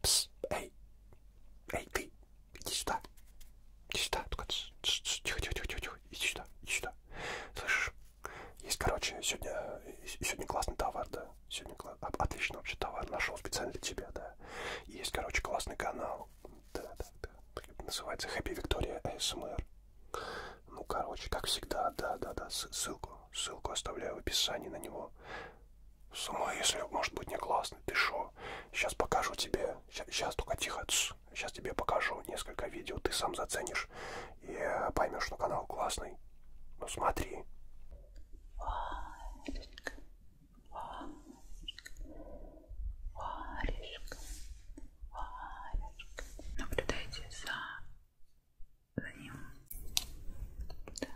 Пс, эй, эй, ты, иди сюда, иди сюда, только тихо-тихо-тихо-тихо, иди сюда, иди сюда. Слышишь, есть, короче, сегодня, э, сегодня классный товар, да, сегодня кла... отлично вообще товар нашел специально для тебя, да. Есть, короче, классный канал, да, да, да, называется Happy Victoria ASMR. Ну, короче, как всегда, да-да-да, ссылку, ссылку оставляю в описании на него. С ума, если, может быть, не классный, ты шо? Сейчас покажу тебе, сейчас только тихо, тс. сейчас тебе покажу несколько видео, ты сам заценишь и э, поймешь, что канал классный. Ну, смотри. Варежка, варежка, варежка, варежка. Наблюдайте за за ним. Так.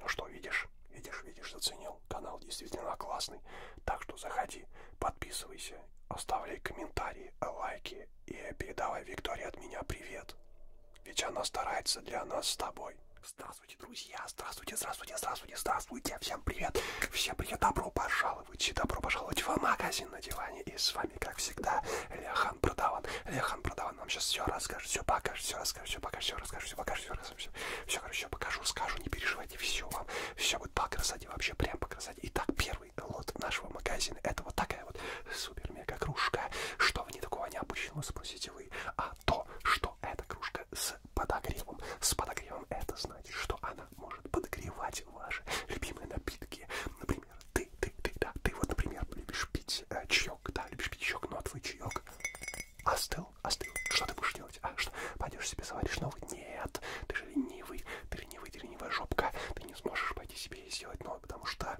Ну что, видишь? Видишь, видишь, заценил? канал. Канал действительно классный. Так что заходи, подписывайся, оставляй комментарии, лайки и передавай Виктории от меня привет. Ведь она старается для нас с тобой. Здравствуйте, друзья! Здравствуйте, здравствуйте, здравствуйте, здравствуйте! Всем привет! Всем привет! Добро пожаловать! И добро пожаловать в магазин на диване! И с вами, как всегда, Лехан Продаван. Лехан Продаван нам сейчас все расскажет, все покажет, все расскажет, все покажет, все расскажет, все покажет, все расскажет, все, все, все, все, короче, покажу, скажу, не переживай заказывайте, все вам, все будет по красоте, вообще прям по красоте. Итак, первый лот нашего магазина, это вот такая вот супер-мега кружка. Что в ней такого необычного, спросите вы, а то, что эта кружка с подогревом, с подогревом, это значит, что она может подогревать ваши любимые напитки, например, ты, ты, ты, да, ты вот, например, любишь пить э, чаек, да, любишь пить чаек, но ну, а твой чаек Остыл, остыл. Что ты будешь делать? А что? Пойдешь себе заваришь новый? Нет, ты же ленивый, ты ленивый, ты ленивая жопка. Ты не сможешь пойти себе и сделать новый, потому что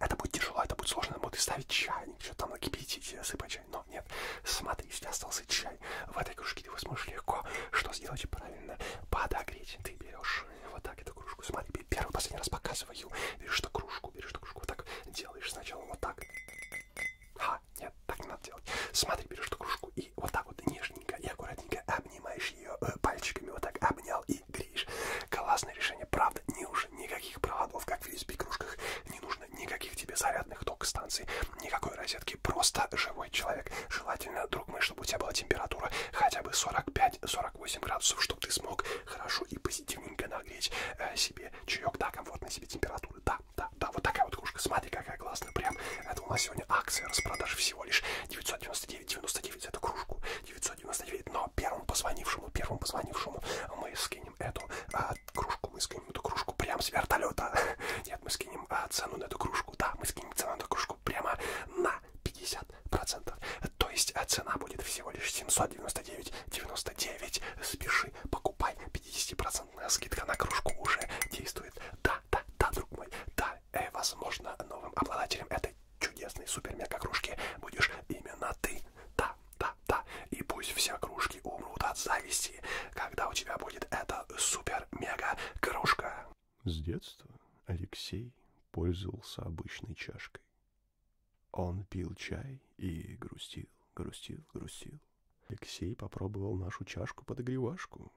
это будет тяжело, это будет сложно, будет ставить чайник, что там накипятить, сыпать чай. Но нет, смотри, если остался чай в этой кружке, ты его сможешь легко что сделать правильно? Подогреть. Ты берешь вот так эту кружку, смотри, первый, последний раз показываю, берешь эту кружку, берешь эту кружку, вот так делаешь сначала вот так. А, а, нет, так не надо делать. Смотри, берешь эту кружку и вот так вот нежненько и аккуратненько обнимаешь ее э, пальчиками. Вот так обнял и греешь. Классное решение, правда, не уже никаких проводов, как в USB-кружках. Не нужно никаких тебе зарядных ток станций, никакой розетки. Просто живой человек. Желательно, друг мой, чтобы у тебя была температура хотя бы 45-48 градусов, чтобы ты смог хорошо и позитивненько нагреть э, себе чаек. Да, комфортно себе температуры, да, да, да, да, вот такая вот кружка. Смотри, какая классная, прям. Это у нас сегодня акция распродажи всего лишь 999,99 за эту кружку. 999, но первому позвонившему, первому позвонившему мы скинем эту а, кружку, мы скинем эту кружку прямо с вертолета. Нет, мы скинем а, цену на эту кружку, да, мы скинем цену на эту кружку прямо на 50%. То есть а, цена будет всего лишь 799,99. Спеши, покупай 50% скидка на кружку уже действует. Да, да, да, друг мой, да, э, возможно, новым обладателем этой чудесной супер-мега-кружки будешь именно ты. Да, да, да. И пусть все кружки умрут от зависти, когда у тебя будет эта супер-мега-кружка. С детства Алексей пользовался обычной чашкой. Он пил чай и грустил, грустил, грустил. Алексей попробовал нашу чашку-подогревашку.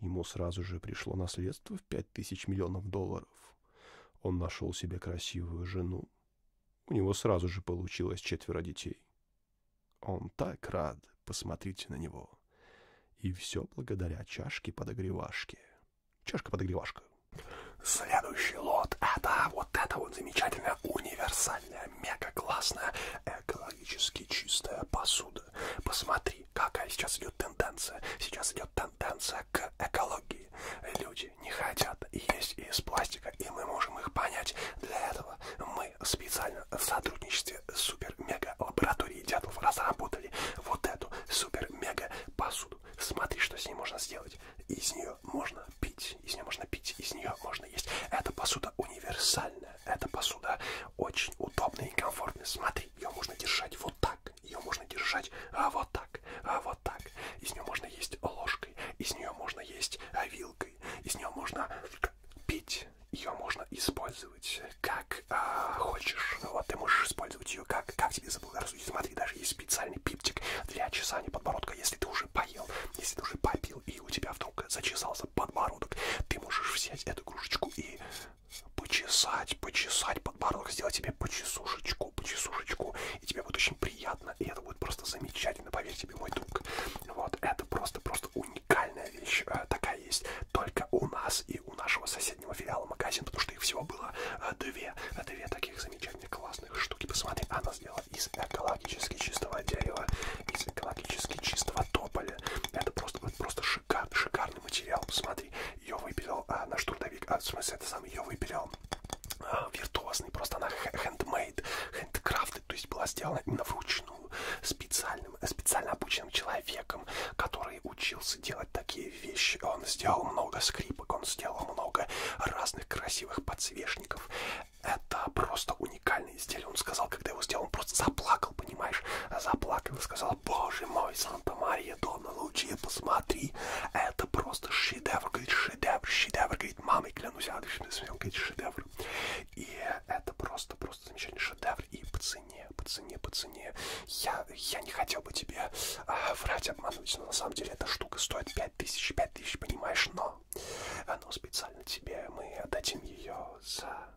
Ему сразу же пришло наследство в пять тысяч миллионов долларов. Он нашел себе красивую жену. У него сразу же получилось четверо детей. Он так рад, посмотрите на него. И все благодаря чашке-подогревашке. Чашка-подогревашка. Следующий лот — это вот это вот замечательная универсальная классная, мега классная, экологически чистая посуда. Посмотри, какая сейчас идет тенденция. Сейчас идет тенденция к экологии. Люди не хотят есть из пластика, и мы можем их понять. Для этого мы специально в сотрудничестве с супер-мега-лабораторией Дятлов разработали вот эту супер-мега посуду. Смотри, что с ней можно сделать. Из нее можно пить, из нее можно пить, из нее можно есть. Эта посуда универсальная, эта посуда очень удобная и комфортная. Смотри, ее можно держать вот так, ее можно держать а вот так, а вот так. Из нее можно есть ложкой, из нее можно есть а, вилкой, из нее можно пить. Ее можно использовать как а, хочешь. Вот ты можешь использовать ее как, как тебе заблагорассудить. Смотри, даже есть специальный пиптик для чесания подбородка. Если ты уже поел, если ты уже попил и у тебя вдруг зачесался подбородок, ты можешь взять эту игрушечку и почесать, почесать подбородок, сделать тебе почесушечку, почесушечку, и тебе будет очень приятно, и это будет просто замечательно, поверь тебе, мой друг. Вот, это просто-просто уникальная вещь, э, такая есть только у нас и у нашего соседнего филиала магазин, потому что их всего было э, две, две таких замечательных классных штуки. Посмотри, она сделала дерева, из экологически чистого дерева, из экологически чистого тополя. Это просто, просто шикар, шикарный материал. Смотри, ее выпилил а, наш трудовик, а в смысле, это сам ее выпилил а, виртуозный, просто она handmade, handcrafted, то есть была сделана именно вручную специальным, специально обученным человеком, который учился делать такие вещи. Он сделал много скрипок, он сделал много разных красивых подсвечников это просто уникальное изделие. Он сказал, когда его сделал, он просто заплакал, понимаешь? Заплакал и сказал, боже мой, Санта-Мария, Дона Лучия, посмотри, это просто шедевр. Говорит, шедевр, шедевр. Говорит, мамой клянусь, адочный смел, говорит, шедевр. И это просто, просто замечательный шедевр. И по цене, по цене, по цене. Я, я не хотел бы тебе а, врать, обмануть, но на самом деле эта штука стоит 5000, 5000, понимаешь? Но канал. Но специально тебе мы отдадим ее за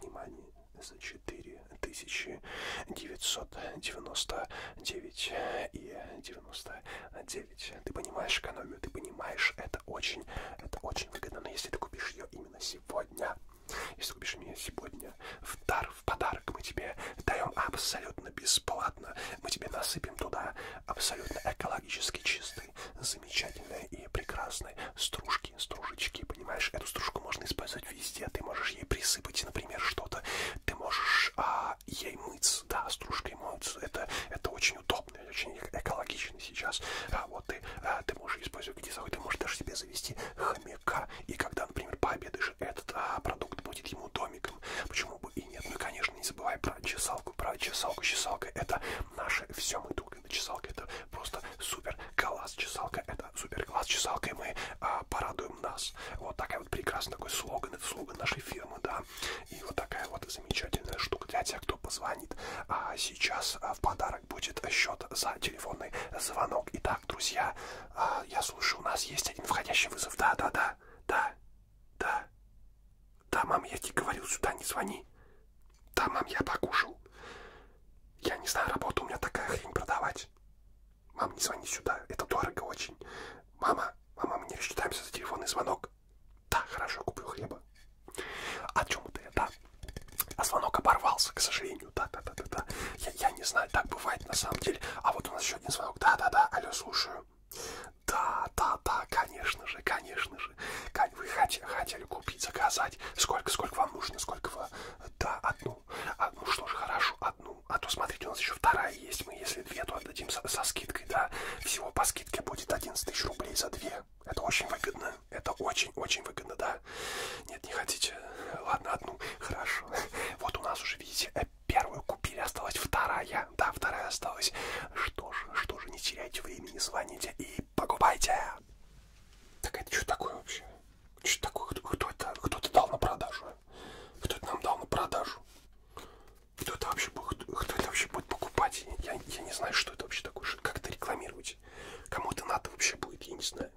внимание за 4999 и 99. Ты понимаешь экономию, ты понимаешь, это очень, это очень выгодно. Но если ты купишь ее именно сегодня, если купишь меня сегодня в дар, в подарок, мы тебе даем абсолютно бесплатно. Мы тебе насыпем туда абсолютно экологически чистые, замечательные и прекрасные стружки, стружечки, понимаешь? Эту стружку можно использовать везде, ты можешь ей присыпать, например, что-то, ты можешь а, ей мыться, да, стружкой мыться, это, это очень удобно, очень экологично сейчас, а, вот ты, а, ты можешь использовать где захочешь, ты можешь даже себе завести хомяка, и когда, например, пообедаешь, этот а, продукт будет ему домиком, почему? бы и нет. Ну и, конечно, не забывай про чесалку, про чесалку. Чесалка это наше все. Мы думаем, чесалка это просто супер класс. Чесалка это супер класс. Чесалкой мы а, порадуем нас. Вот такая вот прекрасный такой слоган. Это слоган нашей фирмы, да. И вот такая вот замечательная штука для тех, кто позвонит. А сейчас а, в подарок будет счет за телефонный звонок. Итак, друзья, а, я слушаю, у нас есть один входящий вызов. Да, да, да, да, да. Да, мам, я тебе говорил, сюда не звони. Да, мам, я покушал. Я не знаю, работа у меня такая хрень продавать. Мам, не звони сюда, это дорого очень. Мама, мама, мы не рассчитаемся за телефонный звонок. Да, хорошо, куплю хлеба. О чем это я, да? А звонок оборвался, к сожалению, да-да-да-да-да. Я, я не знаю, так бывает на самом деле. А вот у нас еще один звонок. Да-да-да, алло, слушаю. Китая. Да, да, да, конечно же, конечно же. Вы хотели, хотели купить, заказать. Сколько, сколько вам нужно, сколько вы... Да, одну. А, ну что ж, хорошо, одну. А то, смотрите, у нас еще вторая есть. Мы, если две, то отдадим со, со скидкой, да. Всего по скидке будет 11 тысяч рублей за две. Это очень выгодно. Это очень-очень выгодно, да. Нет, не хотите. Ладно, одну. Хорошо. Вот у нас уже, видите, первую купили, осталась вторая. Да, вторая осталась. Что же, что же, не теряйте времени, звоните и покупайте. Так это что такое вообще? Что такое? Кто, кто это? Кто это дал на продажу? Кто это нам дал на продажу? Кто это вообще, кто, кто это вообще будет покупать? Я, я не знаю, что это вообще такое, как это рекламировать. Кому это надо вообще будет, я не знаю.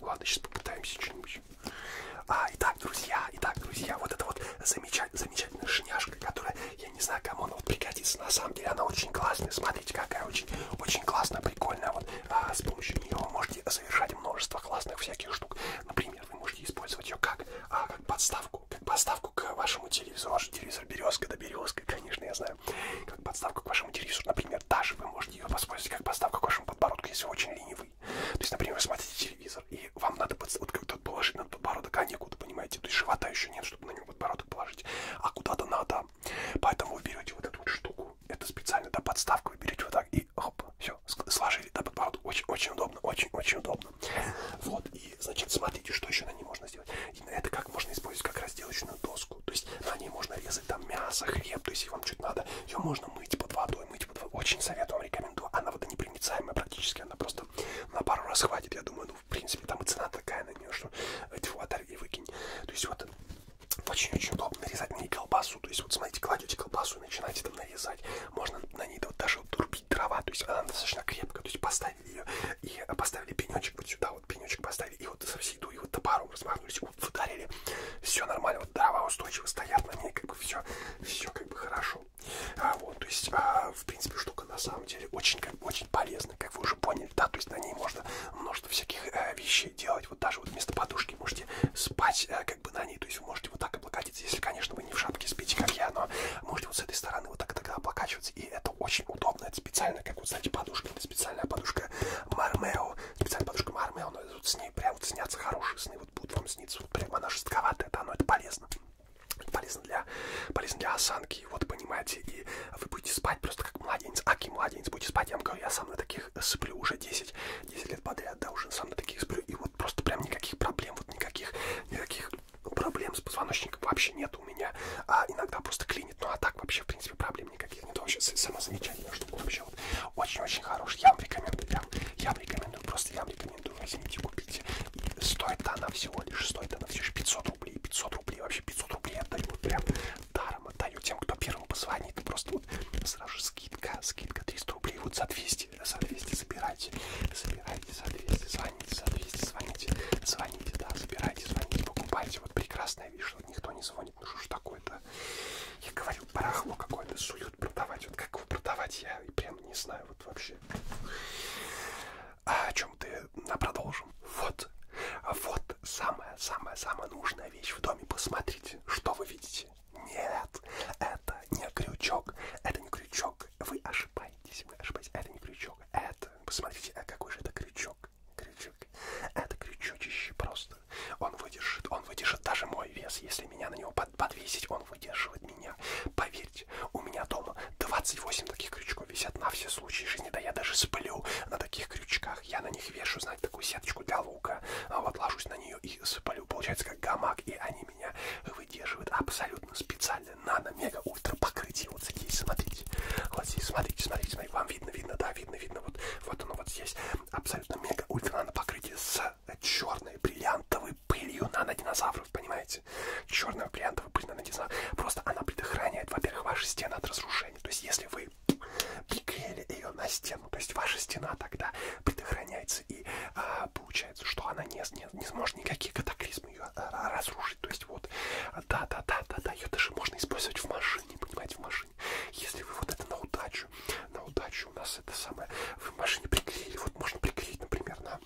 Ладно, сейчас попытаемся что-нибудь. А, итак, друзья, итак, друзья, вот это вот замечательная шиняшка, которая, я не знаю, кому она вот пригодится. На самом деле она очень классная. Смотрите, какая очень, очень классная, прикольная. Вот а, с помощью нее вы можете совершать множество классных всяких штук. Например, вы можете использовать ее как, а, как подставку, как подставку к вашему телевизору. Ваш телевизор березка, да березка, конечно, я знаю. Как подставку к вашему телевизору. Например, даже вы можете ее воспользоваться как подставку к вашему подбородку, если вы очень ленивы вы. То есть, например, вы смотрите телевизор, и вам надо под, вот как-то положить на подбородок, а некуда, понимаете? То есть живота еще нет, чтобы на него подбородок положить, а куда-то надо. Поэтому вы берете вот эту вот штуку, это специально, да, подставку, вы берете вот так и хоп, все, сложили, да, подбородок. Очень-очень удобно, очень-очень удобно. Вот, и, значит, смотрите, что еще на ней можно сделать. И это как можно использовать как разделочную доску. То есть на ней можно резать там мясо, хлеб, то есть если вам что-то надо, ее можно мыть под водой, мыть под водой. Очень советую вам, рекомендую. Она водонепроницаемая практически, она просто что на пару раз хватит, я думаю, ну, в принципе, там и цена такая на нее, что э, тьфу, а отдай и выкинь. То есть вот очень-очень удобно нарезать на ней колбасу, то есть вот смотрите, кладете колбасу и начинаете там нарезать, можно на ней вот даже вот турбить дрова, то есть она достаточно крепкая, то есть поставили ее и поставили пенечек вот сюда, вот пенечек поставили и вот со всей дури вот топором размахнулись, вот ударили, все нормально, вот дрова устойчиво стоят на ней, как бы все, все как бы хорошо. А, вот, то есть, а, в принципе, штука на самом деле очень, как, очень полезная, как вы уже поняли, да, то есть на ней можно множество всяких э, вещей делать, вот даже вот вместо подушки можете спать э, как бы на ней, то есть вы можете вот так облокотиться, если, конечно, вы не в шапке спите, как я, но можете вот с этой стороны вот так тогда облокачиваться, и это очень удобно, это специально, как вот, знаете, подушка, это специальная подушка Мармео, специальная подушка Мармео, но вот с ней прям вот снятся хорошие сны, вот будут вам сниться, вот прям она жестковатая, да, но это полезно полезно для, полезно для осанки, вот понимаете, и вы будете спать просто как младенец, аки младенец, будете спать, я вам говорю, я сам на таких сплю уже 10, 10 лет подряд, да, уже сам на таких сплю, и вот просто прям никаких проблем, вот никаких, никаких проблем с позвоночником вообще нет у меня, а иногда просто клинит, ну а так вообще, в принципе, проблем никаких нет, вообще самая замечательная штука, вообще вот очень-очень хорошая, я вам рекомендую, прям, я вам рекомендую, просто я вам рекомендую иду, возьмите, купите. И стоит она всего лишь, стоит она всего лишь 500 рублей. 500 рублей, вообще 500 рублей отдаю. Вот прям даром отдаю тем, кто первым позвонит. Просто вот сразу же скидка, скидка 300 рублей. Вот за 200, за 200 забирайте. Забирайте за 200, звоните за 200, звоните. Звоните, да, забирайте, звоните, покупайте. Вот прекрасная вещь, что никто не звонит. Ну что ж такое-то? Я говорю, барахло какое-то суют продавать. Вот как его продавать, я прям не знаю вот вообще. А о чем ты? А продолжим. Вот. Вот самая-самая-самая нужная вещь в доме. Посмотрите, что вы видите. Нет, это не крючок. Это не крючок. Вы ошибаетесь. Вы ошибаетесь. Это не крючок. Это. Посмотрите, а какой же это крючок? Крючок. Это крючочище просто. Он выдержит. Он выдержит даже мой вес. Если меня на него под подвесить, он выдерживает меня. Поверьте, у меня дома 28 таких крючков висят на все случаи жизни. Да я даже сплю на таких крючках. Я на них вешу, знаете, такую сеточку для лука. А вот ложусь на нее и сыплю. Получается как гамак, и они меня выдерживают абсолютно специально. Нано-мега-ультра покрытие. Вот здесь, смотрите. Вот здесь, смотрите, смотрите, смотрите. Вам видно, видно, да, видно, видно. Вот, вот оно вот здесь. Абсолютно мега-ультра нано покрытие с была черной бриллиантовой пылью нанодинозавров, понимаете? Черная бриллиантовая пыль нанодинозавров. Просто она предохраняет, во-первых, ваши стены от разрушения. То есть, если вы приклеили ее на стену, то есть ваша стена тогда предохраняется и а, получается, что она не, не, не сможет никакие катаклизмы ее а, разрушить. То есть вот, да-да-да-да-да, ее даже можно использовать в машине, понимаете, в машине. Если вы вот это на удачу удачу. На удачу у нас это самое. В машине приклеили. Вот можно приклеить, например, на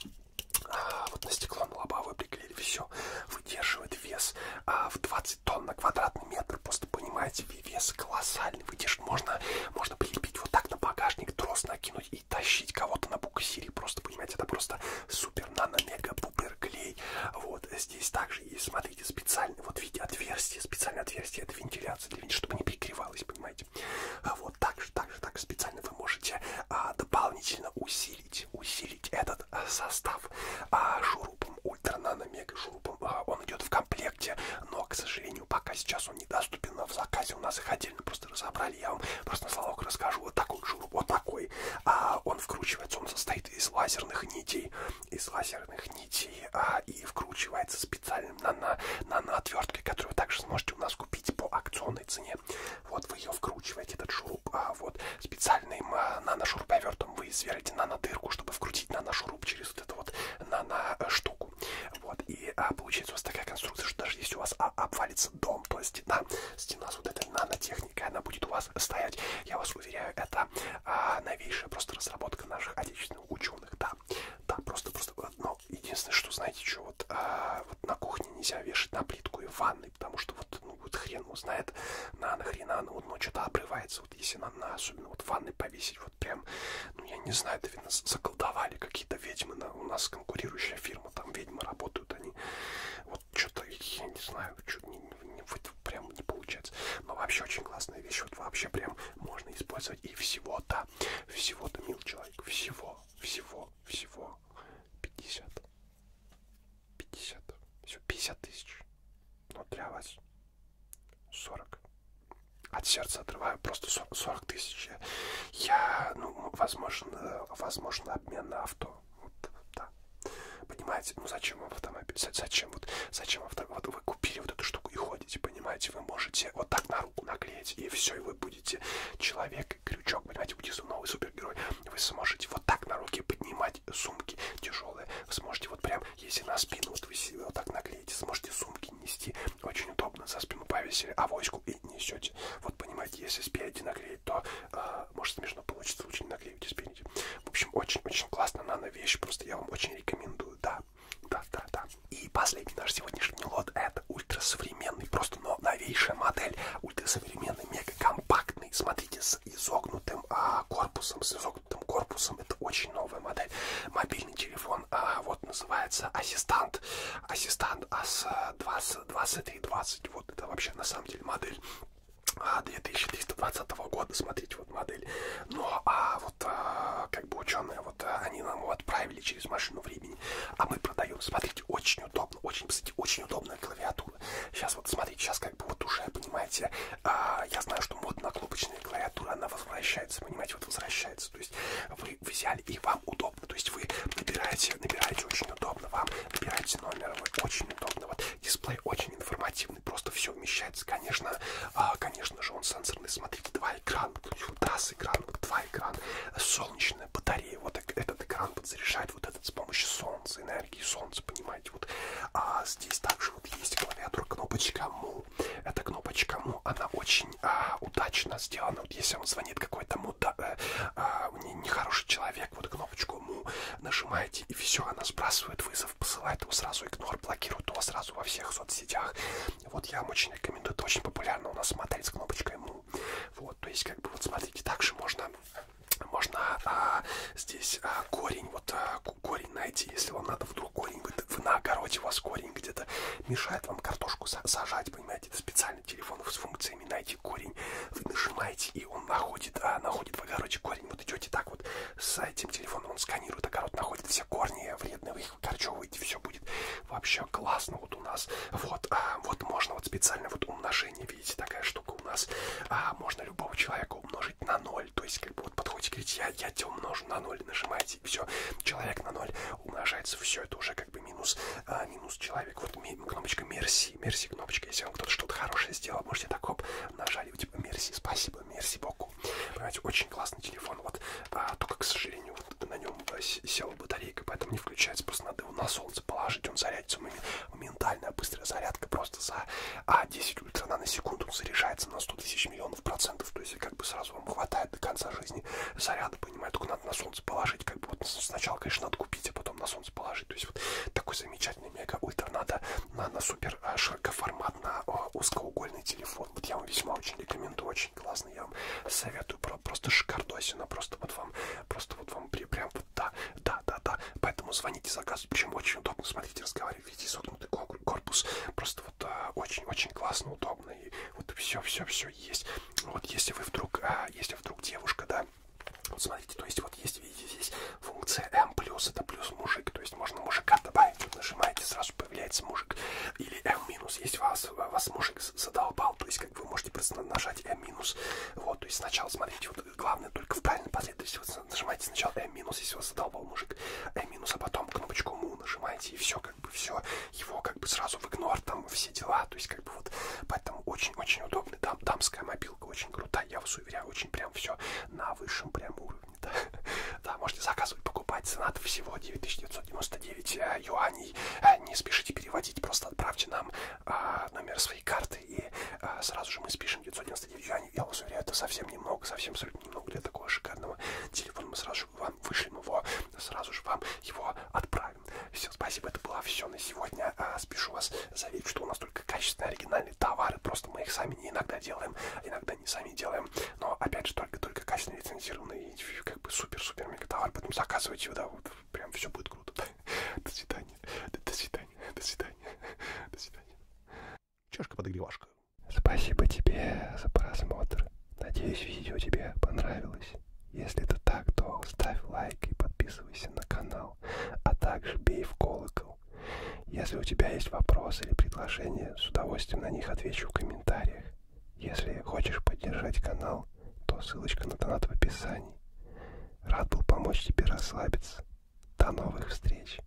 а, вот на стекло на лобовое приклеили. Все выдерживает вес а, в 20 тонн на квадратный метр. Просто понимаете, вес колоссальный. Выдержит. Можно, можно прилепить вот так на багажник, трос накинуть и тащить кого-то на буксире. Просто понимаете, это просто супер нано мега пупер клей. Вот здесь также и смотрите специально вот видите отверстие, специальное отверстие это вентиляция, для, чтобы не перекрывалось, понимаете понимаете. А вот так же, так же, так специально вы можете а, дополнительно усилить, усилить этот а, состав а, шурупом ультра нано мега шурупом. А, он идет в комплекте, но, к сожалению, пока сейчас он недоступен в заказе. У нас их отдельно просто разобрали. Я вам просто на словах расскажу. Вот такой вот шуруп, вот такой. А, он вкручивается, он состоит из лазерных нитей, из лазерных нитей а, и вкручивается специально нано, наноотверткой, которую вы также сможете у нас купить по акционной цене. Вот вы ее вкручиваете, этот шуруп, а вот специальным а, нано-шуруповертом вы сверите нано-дырку, чтобы вкрутить нано-шуруп через вот эту вот нано-штуку. Э, вот, и а, получается у вас такая конструкция, что даже если у вас а, обвалится дом, то есть стена, стена с вот этой нанотехникой, она будет у вас стоять. Я вас уверяю, это а, новейшая просто разработка наших отечественных ученых. Да, да, просто, просто, но ну, Единственное, что, знаете, что вот, а, вот на кухне нельзя вешать на плитку и в ванной, потому что вот, ну, вот хрен узнает, на нахрена оно, вот, ну, что-то обрывается. Вот если на, на особенно вот в ванной повесить, вот прям, ну, я не знаю, это, видно, заколдовали какие-то ведьмы. На, у нас конкурирующая фирма, там ведьмы работают, они вот что-то, я не знаю, что-то не, не, вот, прям не получается. Но вообще очень классная вещь, вот вообще прям можно использовать и всего-то да. Всего-то, мил человек, всего, всего, всего 50. 50. Все, 50 тысяч. Но для вас 40. От сердца отрываю просто 40 тысяч. Я, ну, возможно, возможно, обмен на авто. Вот, да. Понимаете, ну зачем вам автомобиль? Зачем вот, зачем авто? Вот вы купили вот эту штуку и ходите понимаете, вы можете вот так на руку наклеить, и все, и вы будете человек-крючок, понимаете, будете новый супергерой. Вы сможете вот так на руке поднимать сумки тяжелые. Вы сможете вот прям, если на спину вот вы себе вот так наклеите, сможете сумки нести. Очень удобно, за спину повесили авоську и несете. Вот понимаете, если спереди наклеить, то а, может смешно получится, лучше не наклеивайте спереди. В общем, очень-очень классно нано вещь, просто я вам очень рекомендую. Да, да, да, да. И последний наш сегодняшний лот это ультрасовременный, просто но новейшая модель. Ультрасовременный, мега компактный. Смотрите, с изогнутым а, корпусом, с изогнутым корпусом. Это очень новая модель. Мобильный телефон, а, вот называется ассистант. Ассистант АС-20, 2320. А, вот это вообще на самом деле модель. 2320 а, года, смотрите, вот модель. Но а вот а, как бы ученые, вот а, они нам его отправили через машину времени, а мы продаем. Смотрите, очень удобно, очень, кстати, очень удобная клавиатура. Сейчас вот смотрите, сейчас как бы вот уже, понимаете, а, я знаю, что модно кнопочная клавиатура, она возвращается, понимаете, вот возвращается. То есть вы взяли и вам удобно, то есть вы набираете, набираете очень удобно, вам набираете номер, вы очень удобно. Вот дисплей очень информативный, просто все вмещается, конечно, а, конечно же, он сенсорный. Смотрите, два экрана, туда с экрана, вот два экрана, солнечная батарея, вот этот экран вот заряжает вот этот с помощью солнца, энергии солнца, понимаете, вот. А здесь также вот есть клавиатура, кнопочка Му, эта кнопочка Му, она очень а, удачно сделана, вот если вам звонит какой-то муда, э, а, а, нехороший человек, вот кнопочку Му нажимаете и все, она сбрасывает вызов, посылает его сразу игнор, блокирует его сразу во всех соцсетях, вот я вам очень рекомендую, это очень популярно у нас смотреть с кнопочкой «Ну». Вот, то есть, как бы, вот смотрите, также можно можно а, здесь а, корень, вот а, корень найти, если вам надо вдруг корень, вы, вы на огороде, у вас корень где-то мешает вам картошку сажать, понимаете, это специальный телефон с функциями найти корень, вы нажимаете и он находит, а, находит в огороде корень, вот идете так вот с этим телефоном, он сканирует огород, находит все корни вредные, вы Короче, выйти все будет вообще классно вот у нас. Вот, а, вот можно вот специально вот умножение, видите, такая штука у нас. А, можно любого человека умножить на 0. То есть, как бы вот подходите, говорите, я, я тебя умножу на 0, нажимаете, и все. Человек на 0 умножается, все, это уже как бы минус, а, минус человек. Вот ми, кнопочка мерси, мерси кнопочка. Если вам кто-то что-то хорошее сделал, можете так, хоп, нажали, типа мерси, спасибо, мерси, бог телефончику. Понимаете, очень классный телефон. Вот а, только, к сожалению, вот на нем а, села батарейка, поэтому не включается. Просто надо его на солнце положить, он зарядится. Моментальная быстрая зарядка просто за а, 10 ультра наносекунд он заряжается на 100 тысяч миллионов процентов. То есть, как бы сразу вам хватает до конца жизни заряда, понимаете, только надо на солнце положить. Как бы вот сначала, конечно, надо купить, а потом на солнце положить. То есть, вот такой замечательный мега-ультра надо на, на супер а, широкоформатно а, узкоугольный телефон телефон. Вот я вам весьма очень рекомендую, очень классный. Я вам советую просто шикардосина, просто вот вам, просто вот вам прям вот да, да, да, да. Поэтому звоните заказу, причем очень удобно. Смотрите, разговаривайте, видите согнутый корпус. Просто вот очень-очень а, классно, удобно. И вот все-все-все есть. Вот если вы вдруг, а, если вдруг девушка, да, вот смотрите, то есть вот есть, видите, здесь функция М+, это плюс мужик, то есть можно мужика добавить, вот нажимаете, сразу появляется мужик. Или M минус, если вас, вас мужик задолбал, то есть как вы можете просто нажать M минус. Вот, то есть сначала смотрите, вот главное только в правильной последовательности. Вот нажимайте сначала M минус, если вас задолбал мужик, M минус, а потом кнопочку му нажимаете и все, как бы все, его как бы сразу в игнор, там все дела, то есть как бы вот, поэтому очень-очень удобно. Там дамская мобилка очень крутая, я вас уверяю, очень прям все на высшем прям уровне уровне. Да? да, можете заказывать, покупать. Цена всего 9999 э, юаней. Э, не спешите переводить, просто отправьте нам а, номер своей карты, и а, сразу же мы спишем 999 юаней. Я вас уверяю, это совсем немного, совсем абсолютно немного для такого шикарного телефона. Мы сразу же вам вышлем его, сразу же вам его отправим. Все, спасибо, это было все на сегодня. А, спешу вас заверить, что у нас только качественные оригинальные товары, просто мы их сами не иногда делаем, а иногда они сами делаем. Но опять же, только-только качественно лицензированный и как бы супер-супер мега товар. Поэтому заказывайте, да, вот прям все будет круто. До свидания. До свидания. До свидания. До свидания. Чашка-подогревашка. Спасибо тебе за просмотр. Надеюсь, видео тебе понравилось. Если это так, то ставь лайк и подписывайся на канал, а также бей в колокол. Если у тебя есть вопросы или предложения, с удовольствием на них отвечу в комментариях. Если хочешь поддержать канал, то ссылочка на донат в описании. Рад был помочь тебе расслабиться. До новых встреч!